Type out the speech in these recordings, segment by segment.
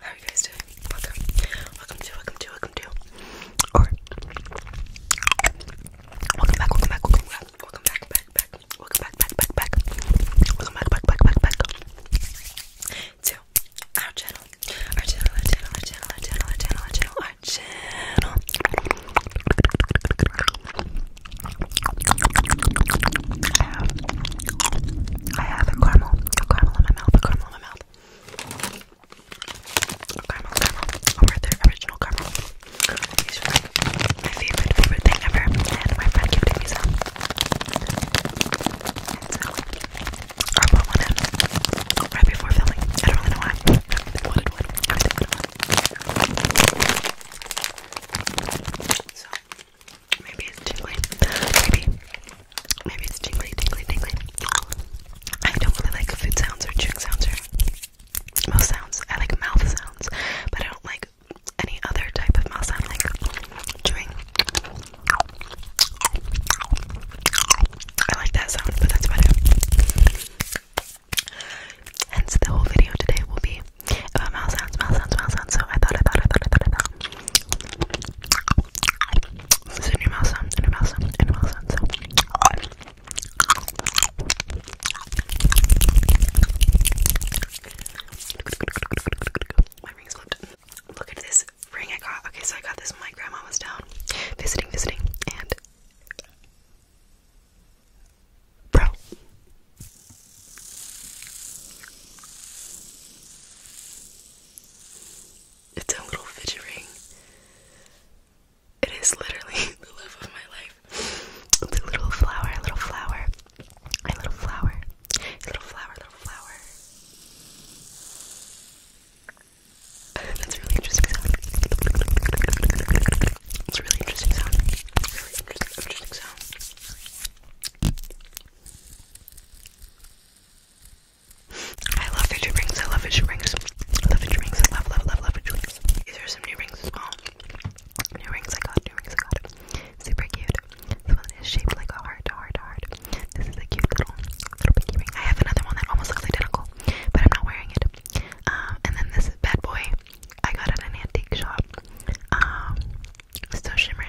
How you guys doing? Welcome. Welcome to, welcome to, welcome to. Or welcome back, welcome back, welcome back, welcome back, back, back, welcome back, back, back, back. Welcome back, back, back, back, To Our channel, our channel, our channel, our channel, our channel, our channel, our channel. I have, a caramel, a caramel in my mouth, a caramel in my mouth. A caramel, caramel, over the original caramel. my favorite, favorite thing ever, my friend gifted me some. And I bought one in right before filming. I don't really know why. Maybe it's tingly. Maybe. Maybe it's tingly, tingly, tingly. I don't really like food sounds or drink sounds or mouth sounds. I like mouth sounds, but I don't like any other type of mouth sound like chewing. I like that sound, but that's about it. Hence, the whole video today will be about mouse sounds, mouse sounds, mouse sounds. So I thought, I thought, I thought, I thought, I thought. This is new mouse sound, new mouse sound, new mouse sound. So. My ring's flipped. Look at this ring I got. Okay, so I got this when my grandma was down visiting, visiting, and Bro. It's a little fidget ring. It is literally the love of my life. It's a little flower, a little flower, a little flower, a little flower, a little flower. That's a really interesting sound. It's a really interesting sound. Really interesting, interesting sound. I love fidget rings. I love fidget rings. I love fidget rings. I love, love, love, love fidget rings. These are some new rings as well. New rings I got. New rings I got. Super cute. This one is shaped like a heart, heart, heart. This is a cute little, little pinky ring. I have another one that almost looks identical, but I'm not wearing it. Um, and then this bad boy I got at an antique shop. Um, still shimmering.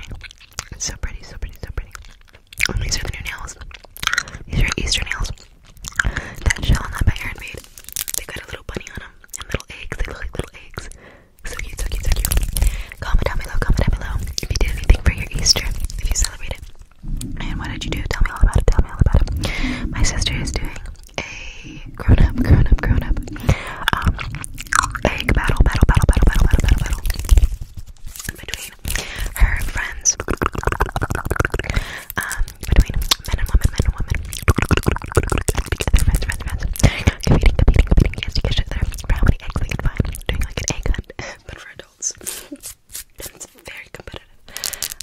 It's so pretty, so pretty, so pretty. And oh, these are the new nails. These are Easter nails. That shell and that by Aaron made. They got a little bunny on them and little eggs. They look like little eggs. So cute, so cute, so cute. Comment down below, comment down below if you did anything for your Easter, if you celebrate it. And what did you do? Tell me all about it, tell me all about it. My sister is doing a grown up, grown up, grown up, um, egg battle, battle, battle, battle, battle, battle, battle, between her friends, um, between men and women, men and women, together, friends, friends, friends, competing, competing, competing against each other for how many eggs they can doing like an egg hunt, but for adults. it's very competitive.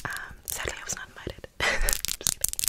Um, sadly, I was not invited.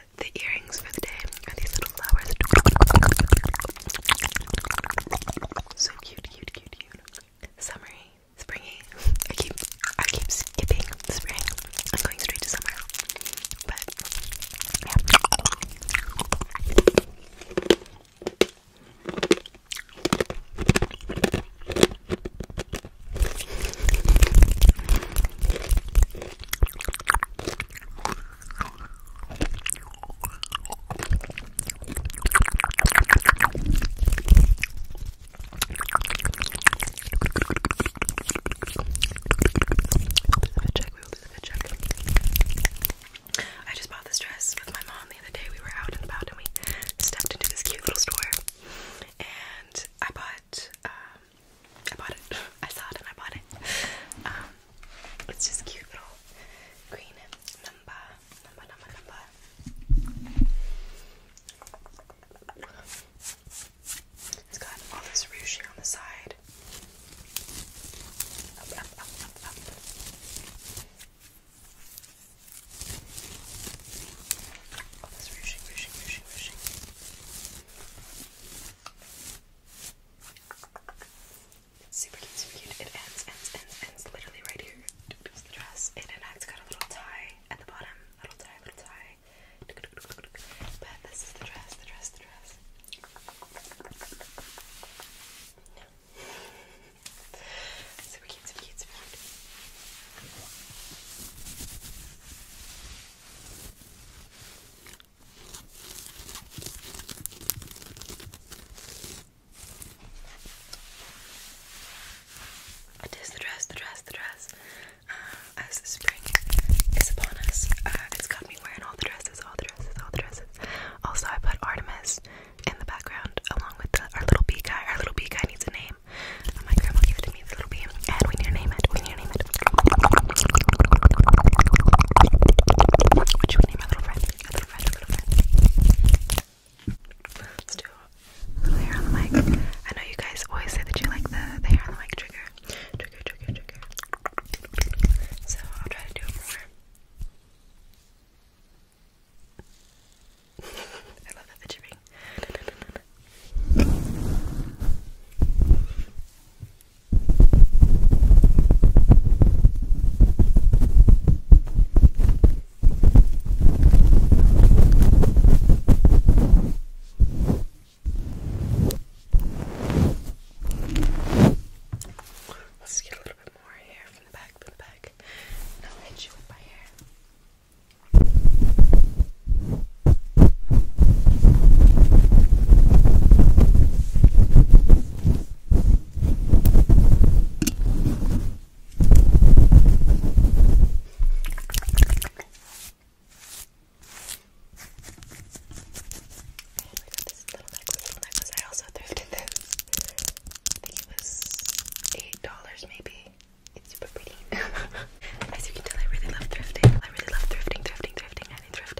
the earrings for the day are these little flowers. So cute, cute, cute, cute. Summery, springy. I keep, I keep skipping spring. I'm going straight to summer. But I just bought this dress with my mom the other day. We were out and about and we stepped into this cute little store. And I bought um, I bought it. I saw it and I bought it. Um, it's just cute little green number, number, number, number. It's got all this rouge on the side. All this ruching, ruching, ruching, ruching. It's super cute, super cute. It ends, ends, ends, ends literally right here. It's the dress. And then it's got a little tie at the bottom. Little tie, little tie. But this is the dress, the dress, the dress. No. super cute, super cute, super cute. It is the dress, the dress, the dress. Uh, as spring is upon us, uh, me wearing all the dresses, all the dresses, all the dresses. Also, I put Artemis in the background along with our little bee guy. Our little bee guy needs a name. My grandma gave it to me, the little bee, and we need to name it. We need to name it. What should name our little friend? Our little friend, our little friend. Let's do a little hair on the mic. I know you guys always say that you like the, the hair on the mic trigger. Trigger, trigger, trigger. So I'll try to do it more. I love that the chipping. Let's get a little bit more hair from the back, from the back. And I'll hit you with my hair. I also thrifted this. I think it was eight dollars maybe. It's super pretty. As you can tell, I really love thrifting. I really love thrifting, thrifting, thrifting, and thrifting.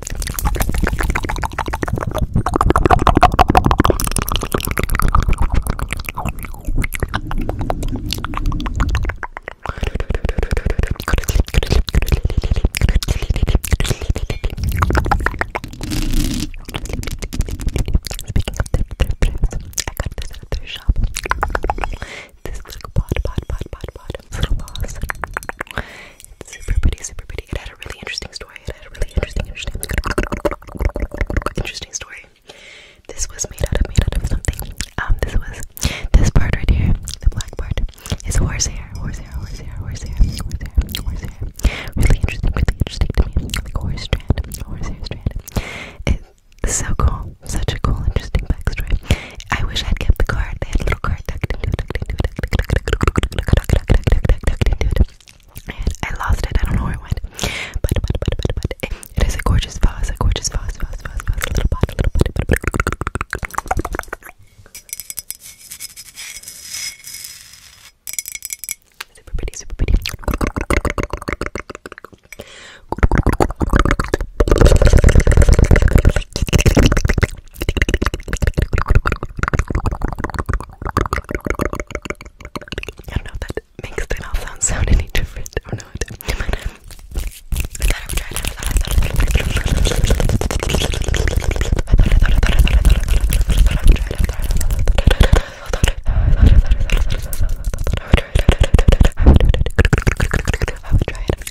this little pod, pod, pod, pod, pod. It's super pretty, super pretty. It had a really interesting story. It had a really interesting, interesting, interesting story. This was made out of made out of something. Um, this was this part right here, the black part, is horse hair, horse hair, horse hair, horse hair, horse hair, horse hair. Really interesting, really interesting to me. horse strand, horse hair strand. It's so cool, such a cool, interesting backstory. I wish I'd kept the card. They had a little card And I lost it. I don't know where it went. it is a gorgeous vase, a gorgeous vase, vase, vase, vase, a little pot, little pot, I don't know if that makes the mouth sound sound any different or not. I thought I would try it. I thought I would try it. I would try it.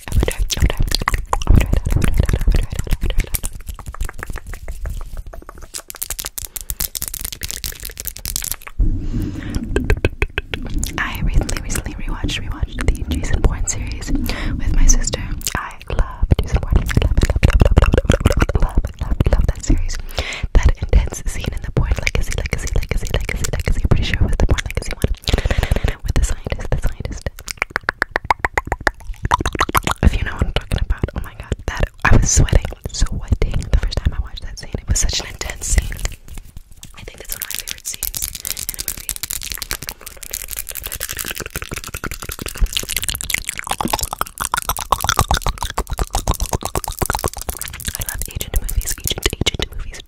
I recently, recently rewatched, rewatched the Jason Bourne series with my sister. I love Jason Bourne. I love, love, love, love, that series. That intense scene in the Bourne Legacy, Legacy, Legacy, Legacy, Legacy. pretty sure it was the Bourne Legacy one with the scientist, the scientist. If you know what I'm talking about, oh my god, that I was sweating, sweating the first time I watched that scene. It was such an intense scene. I think that's one of my favorite scenes in a movie. I love agent movies, agent, agent movies.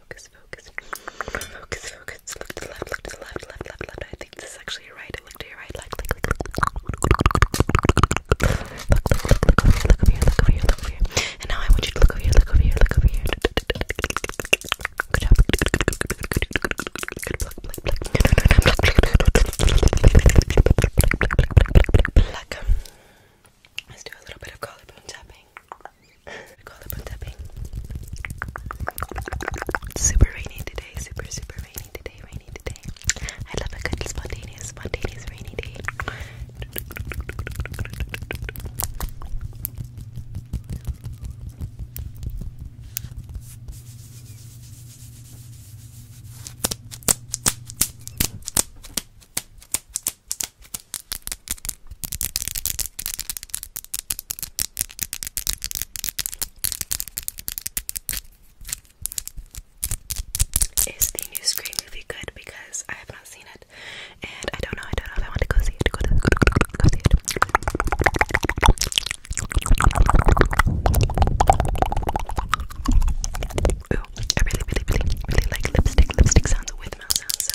focus, focus, focus, focus. Look to the left, look to the left, left, left, left. I think this is actually right. Look to your right, left, left, left, Look, over here, look over here, look over here, And now I want you to look over here, look over here, look over here. Good job. Let's do a little bit of collarbone tapping. Super rainy today, super, super rainy today, rainy today. I love a good spontaneous, spontaneous rainy day. Is the new Scream movie good? Because I have not seen it, and I don't know. I don't know if I want to go see it. Go, to, go, to, go, to, go see it. Ooh, I really, really, really, really like lipstick, lipstick sounds with mouth sounds. So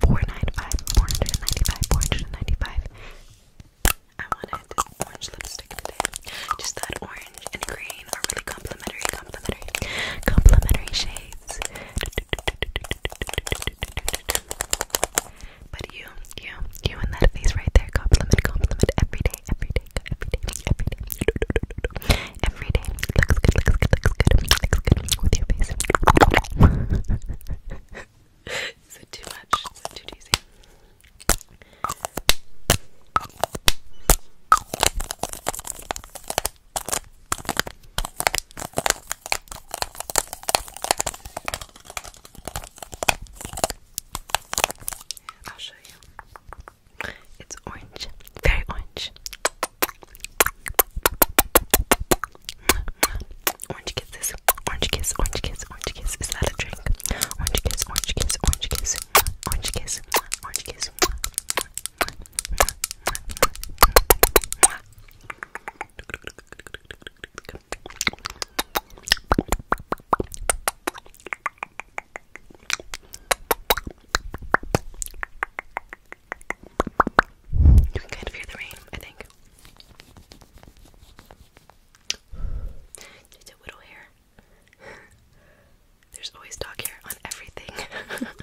495, 495, 495. I wanted orange lipstick today. Just that orange and green are really complimentary, complimentary, complimentary shades. But you, you, you and that face right there, compliment, compliment every day, every day, every day, every day. Every day looks good, looks good, looks good, looks good with your face. Is it too much? Is it too cheesy? I'll show you. It's orange, very orange. Orange kisses, orange kiss, orange kiss, orange kiss. Is that a drink? Orange kiss, orange kiss, orange kiss, orange kiss, orange kiss. You can kind of hear the rain, I think. It's a little hair. There's always dog hair on everything.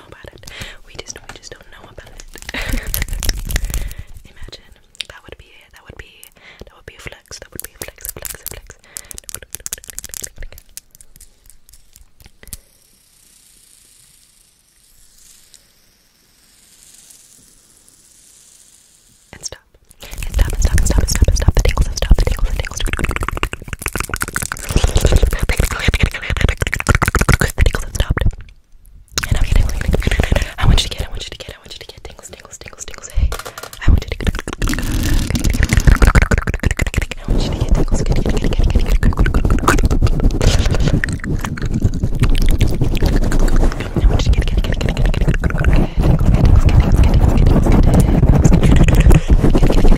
We just don't know about it. Imagine that would be that would be that would be a flex. That would be a flex, a flex, a flex. And stop. And stop and stop and stop and stop and stop the tingles and stop the tingles and tingles tingles have stopped. And I'm getting I want you to get, I want you to get, I want you to get tingles, tingles, tingles, tingles. Hey, I want you to get I want you to get tingles, get, get, get, get, get, get. I want you to get, get, get, get, get, get, get, get. Tingles, get, get, get, get, get, get, get, get, get. Get, get, get, get,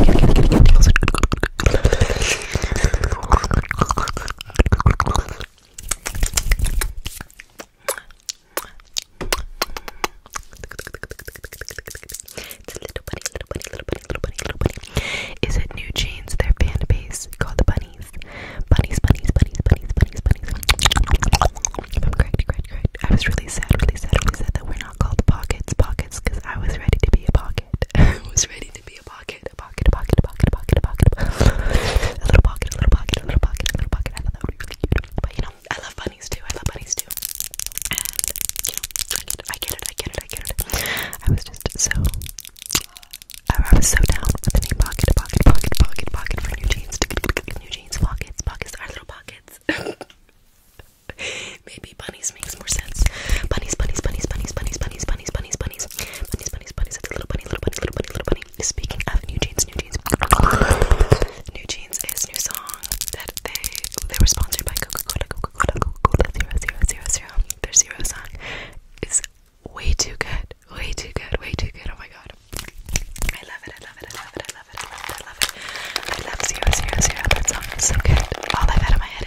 get, get, get, get, get. It's a little bunny, little bunny, little bunny, little bunny, little bunny. Is it New Jeans? Their fan base called the Bunnies. Bunnies, bunnies, bunnies, bunnies, bunnies, bunnies. If I'm correct, correct, correct. I was really sad, really sad, really sad that we're not called pockets, pockets, because I was ready to be a pocket. I was ready to be a pocket, a pocket, a pocket, a pocket, a pocket, a pocket, a, pocket. a little pocket, a little pocket, a little pocket, a little pocket. I thought that would be really cute. But you know, I love bunnies too. I love bunnies too. And you know, I get it, I get it, I get it, I get it. I was just so, uh, I was so down with the name pocket, pocket, pocket, pocket, pocket for new jeans, new jeans, pockets, pockets, our little pockets. Maybe bunnies makes more sense. Bunnies, bunnies, bunnies, bunnies, bunnies, bunnies, bunnies, bunnies, bunnies, bunnies, bunnies, bunnies. It's a little bunny, little bunny, little bunny, little bunny. Speaking of New Jeans, New Jeans, New Jeans is new song that they they were sponsored by Coca-Cola, Coca-Cola, Coca-Cola zero zero zero zero. Their zero song is way too good, way too good, way too good. Oh my god, I love it, I love it, I love it, I love it, I love it, I love it. I love zero zero zero. That song is so good. All I've had in my head.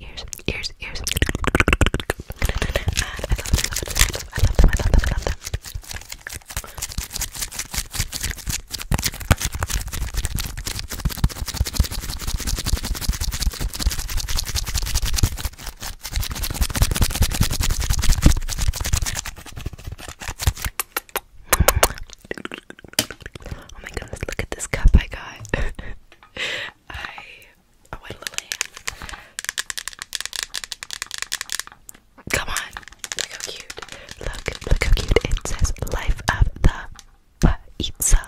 ears, ears, ears. I love them, I love them, I love them, I love them. Oh my goodness, look at this cup I got. I I went Lillian. Come on, look how cute. Look, look how cute. It says life of the pizza.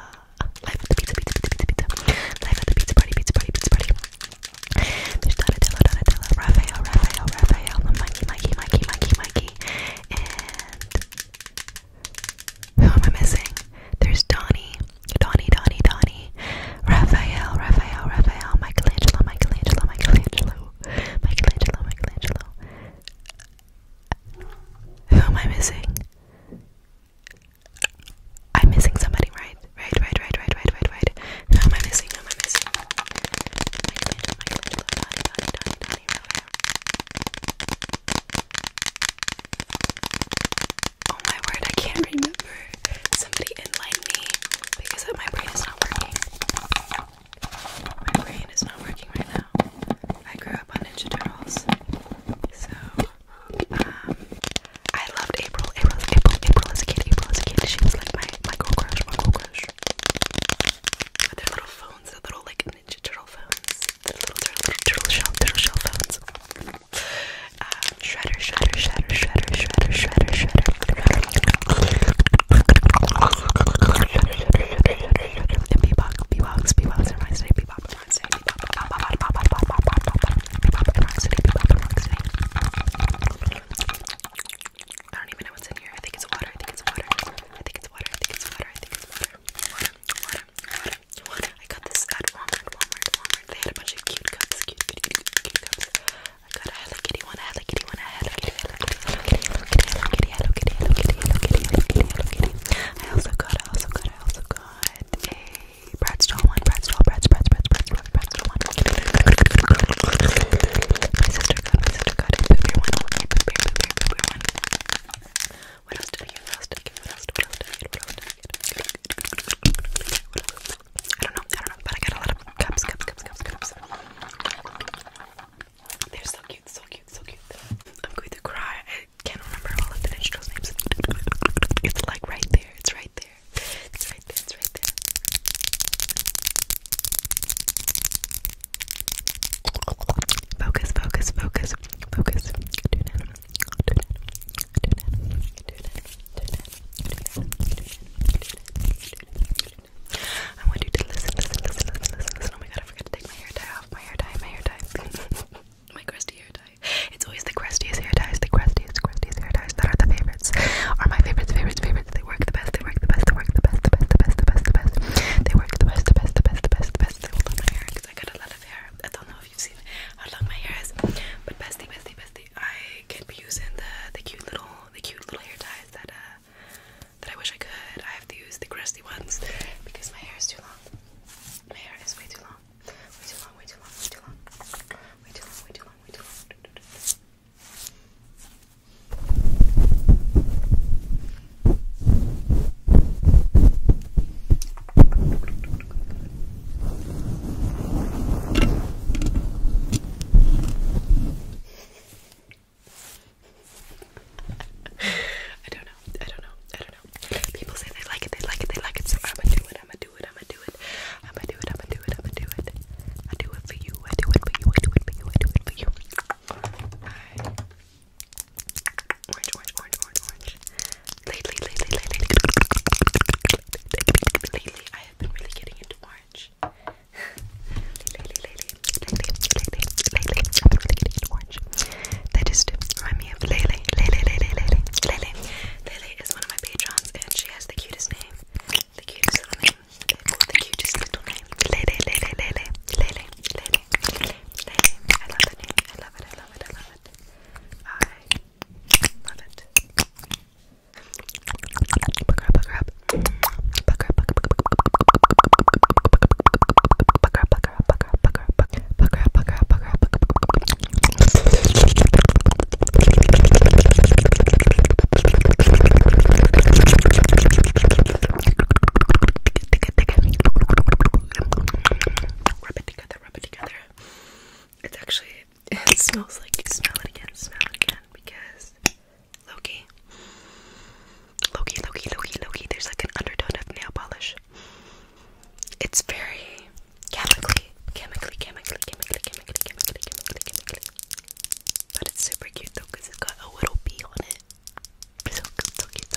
Life of the pizza, pizza, pizza, pizza, pizza. Life of the pizza party, pizza party, pizza party. There's Donatello, Raphael, Raphael, Raphael, Mikey, Mikey, Mikey, Mikey, and who am I missing? There's Donny, Donny, Donny, Donny, Raphael, Raphael, Raphael, Michelangelo, Michelangelo, Michelangelo, Michelangelo, Michelangelo. Who am I missing? I'm missing somebody, right? Right, right, right, right, right, right, Who am I missing? Who am I missing? Oh my word, I can't remember. Somebody enlighten me because my brain is not working. My brain is not working right now. I grew up on Ninja Turtles. So, um, I loved April. April, April, April as a kid. April as a kid. She was like my, my girl crush, my girl crush. their little phones, their little like Ninja Turtle phones, the little turtle, turtle shell, turtle shell phones. Um, shredder, shredder, shredder, shredder, shredder, shredder, shredder. And Bebop, Bebop, Bebop, reminds today, Bebop, reminds today, Bebop, Bebop, Bebop, Bebop, Bebop, Bebop, Bebop, Bebop, reminds today, Bebop, reminds today. I don't even know what's in here. I think it's water. I think it's water. I think it's water. I think it's water. I think it's water. Water. Water water, water, water. I got Walmart, Walmart, Walmart. They had a bunch of cute cups, cute, cute, cute, cute I got a Hello Kitty one, a Hello Kitty one, a Hello Kitty, Hello Kitty, Hello Kitty, Hello Kitty, Hello Kitty, Hello Kitty, Hello Kitty, Hello Kitty, Hello Kitty, I also got, I also got, I also got a Bratz one, Bratz doll, Bratz, Bratz, Bratz, Bratz, one. My sister got, my sister got a Booper one, a Booper, Booper, Booper one. I don't know. I don't know. But I got a lot of cups, cups, cups, cups, cups. They're so cute, so cute, so cute. I'm going to cry. I can't remember all of the Ninja names. It's like right there. It's right there. It's right there. It's right there. Focus, focus, focus. Focus. I want to listen, listen, listen, listen, listen. Oh my god, I forgot to take my hair tie off. My hair tie, my hair tie. my crusty hair tie. It's always the crustiest hair ties, the crustiest, crustiest hair ties that are the favorites. Are my favorites, favorites, favorites. They work the best, they work the best, they work the best, the best, the best, the best, the best. They work the best, the best, the best, the best, the best because I got a lot of hair. I don't know if you've seen how long my hair is, but bestie, bestie, bestie, I can't be using the the cute little the cute little hair ties that uh that I wish I could. I have to use the crusty ones because my hair is too long. My hair is way too long. Way too long. Way too long. Way too long. Way too long. Way too long. Way too long. I don't know. I don't know. I don't know. People say they like it. They like it. They like it. So I'ma do it. I'ma do it. I'ma do it. I'ma do it. I'ma do it. I'ma do it. I do it for you. I do it for you. I do it for you. I do it for you. I Orange, orange, orange, orange, orange. Lately, lately, lately, lately, lately, I have been really getting into orange. lately, lately, lately, lately, lately, I've really getting into orange. They just remind me of Lele, Lele, Lele, Lele, Lele. Lele is one of my patrons, and she has the cutest name. The cutest little name. The cutest little name. Lele, Lele, Lele, Lele, Lele, name's name. I love the I love it. I love it. I love it. I love it. Buck up, buck up. Buck up, buck up, buck up. Buck up, buck up, buck up, buck up, buck up, buck up, buck up, buck up, buck up, buck up, buck up, buck Rub it together, rub it together. It's actually, it smells like, smell it again, smell it again, because Loki, Loki, Loki, Loki, Loki, there's like an undertone of nail polish. It's very chemically, chemically, chemically, chemically, chemically, chemically, chemically, chemically. But it's super cute though, because it's got a little bee on it. So cute,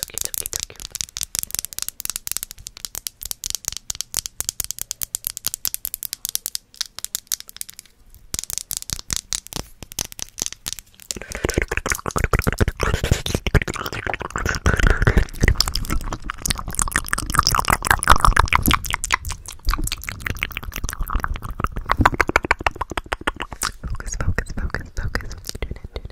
Focus, focus, focus, focus.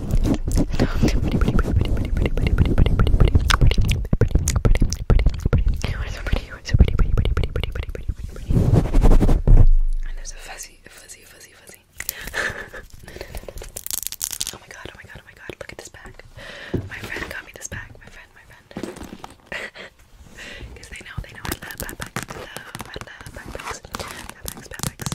And there's a fuzzy, fuzzy, fuzzy, fuzzy. oh my god, oh my god, oh my god, look at this bag. My friend got me this bag. My friend, my friend. Because they know, they know I love backpacks. I love, I love backpacks. Backpacks, backpacks.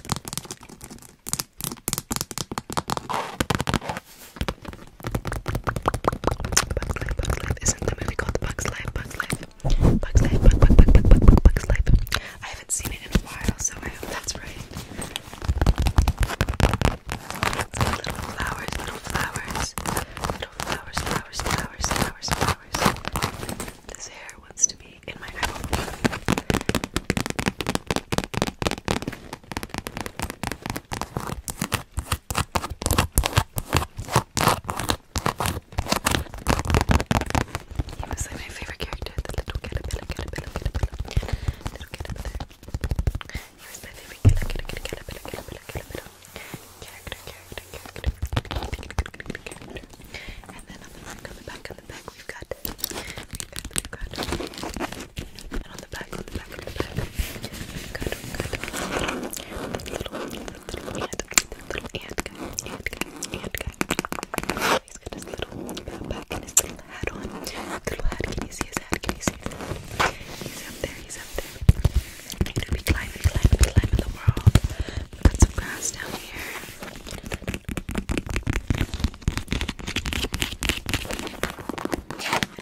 Isn't the movie called Bugs Life, Bugs Life? Bugs Life, Bug, Bug, Bug, Bug, Bug, Bugs Life. I haven't seen it in a while, so I that's right. Little flowers, little flowers. Little flowers, flowers, flowers, flowers, This hair wants to be in my eyeball. He was like my favorite character, the little caterpillar, caterpillar, caterpillar, little caterpillar. He was my favorite caterpillar, caterpillar, caterpillar, caterpillar, character, character, character, character. And then on the back, on the back, on the back back we've got, we've got, we've got, and on the back, on the back, on the back, we've got, we've got, little, little, little ant, little ant guy, ant guy, ant guy. He's got his little backpack and his little hat on, little hat, can you see his hat, can you see his hat? He's up there, he's up there. I'm gonna be climbing, climbing, climbing the world. Put some grass down here. And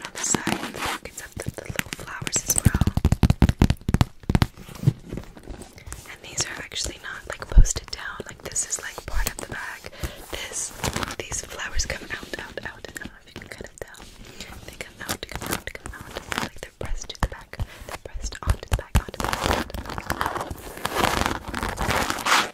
on the side, the pockets of the, little flowers as well. And these are actually not like posted down. Like this is like part of the bag. This, these flowers coming out, out, out. I don't know if you can kind of tell. They come out, come out, come out. Like they're pressed to the back. They're pressed onto the back, onto the back. Onto the back.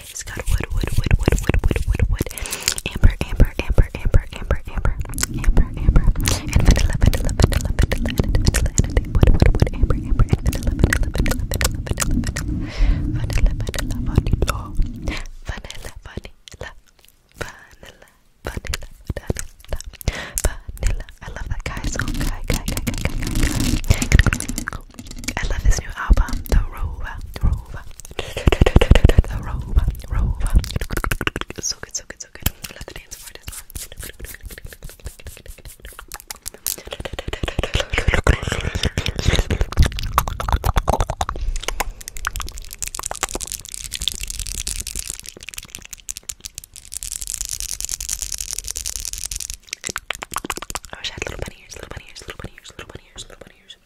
It's got wood, wood, wood, wood, wood, wood, wood, wood. Amber, amber, amber, amber, amber, amber, amber, amber. And vanilla, vanilla, vanilla, vanilla, vanilla, vanilla, wood, wood, wood, amber, amber, and vanilla, vanilla, vanilla, vanilla, vanilla, vanilla, vanilla, vanilla, vanilla, vanilla. Vanilla, vanilla, vanilla, vanilla. I love that guy. So guy, guy, guy, guy, guy, guy, guy. I love his new album, The Rover. The Rover. The Rover. Rover. So good, so good, so good. Love the dance for this I wish I had little bunny ears, little bunny ears, little bunny ears, little bunny ears, little bunny ears.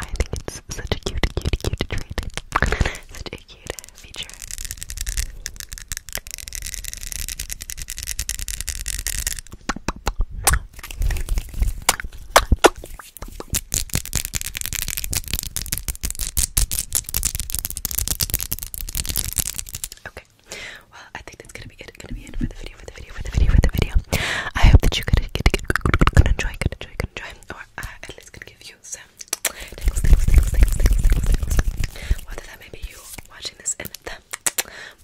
I think it's such a cute, cute, cute trait. such a cute feature. Okay. Well, I think that's gonna be it. Gonna be it for the video video, for the video, for the video, for the video. I hope that you could, could, could, could enjoy, could enjoy, could enjoy, or uh, at least could give you some tingles, tingles, tingles, tingles, tingles, tingles, tingles. Whether that may be you watching this in the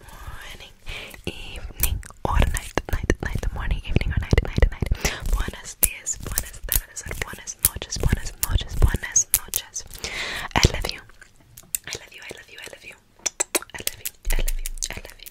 morning, evening, or night, night, night, morning, evening, or night, night, night. Buenos dias, buenas tardes, or buenas noches, buenas noches, buenas noches. I love you. I love you, I love you, I love you. I love you, I love you, I love you.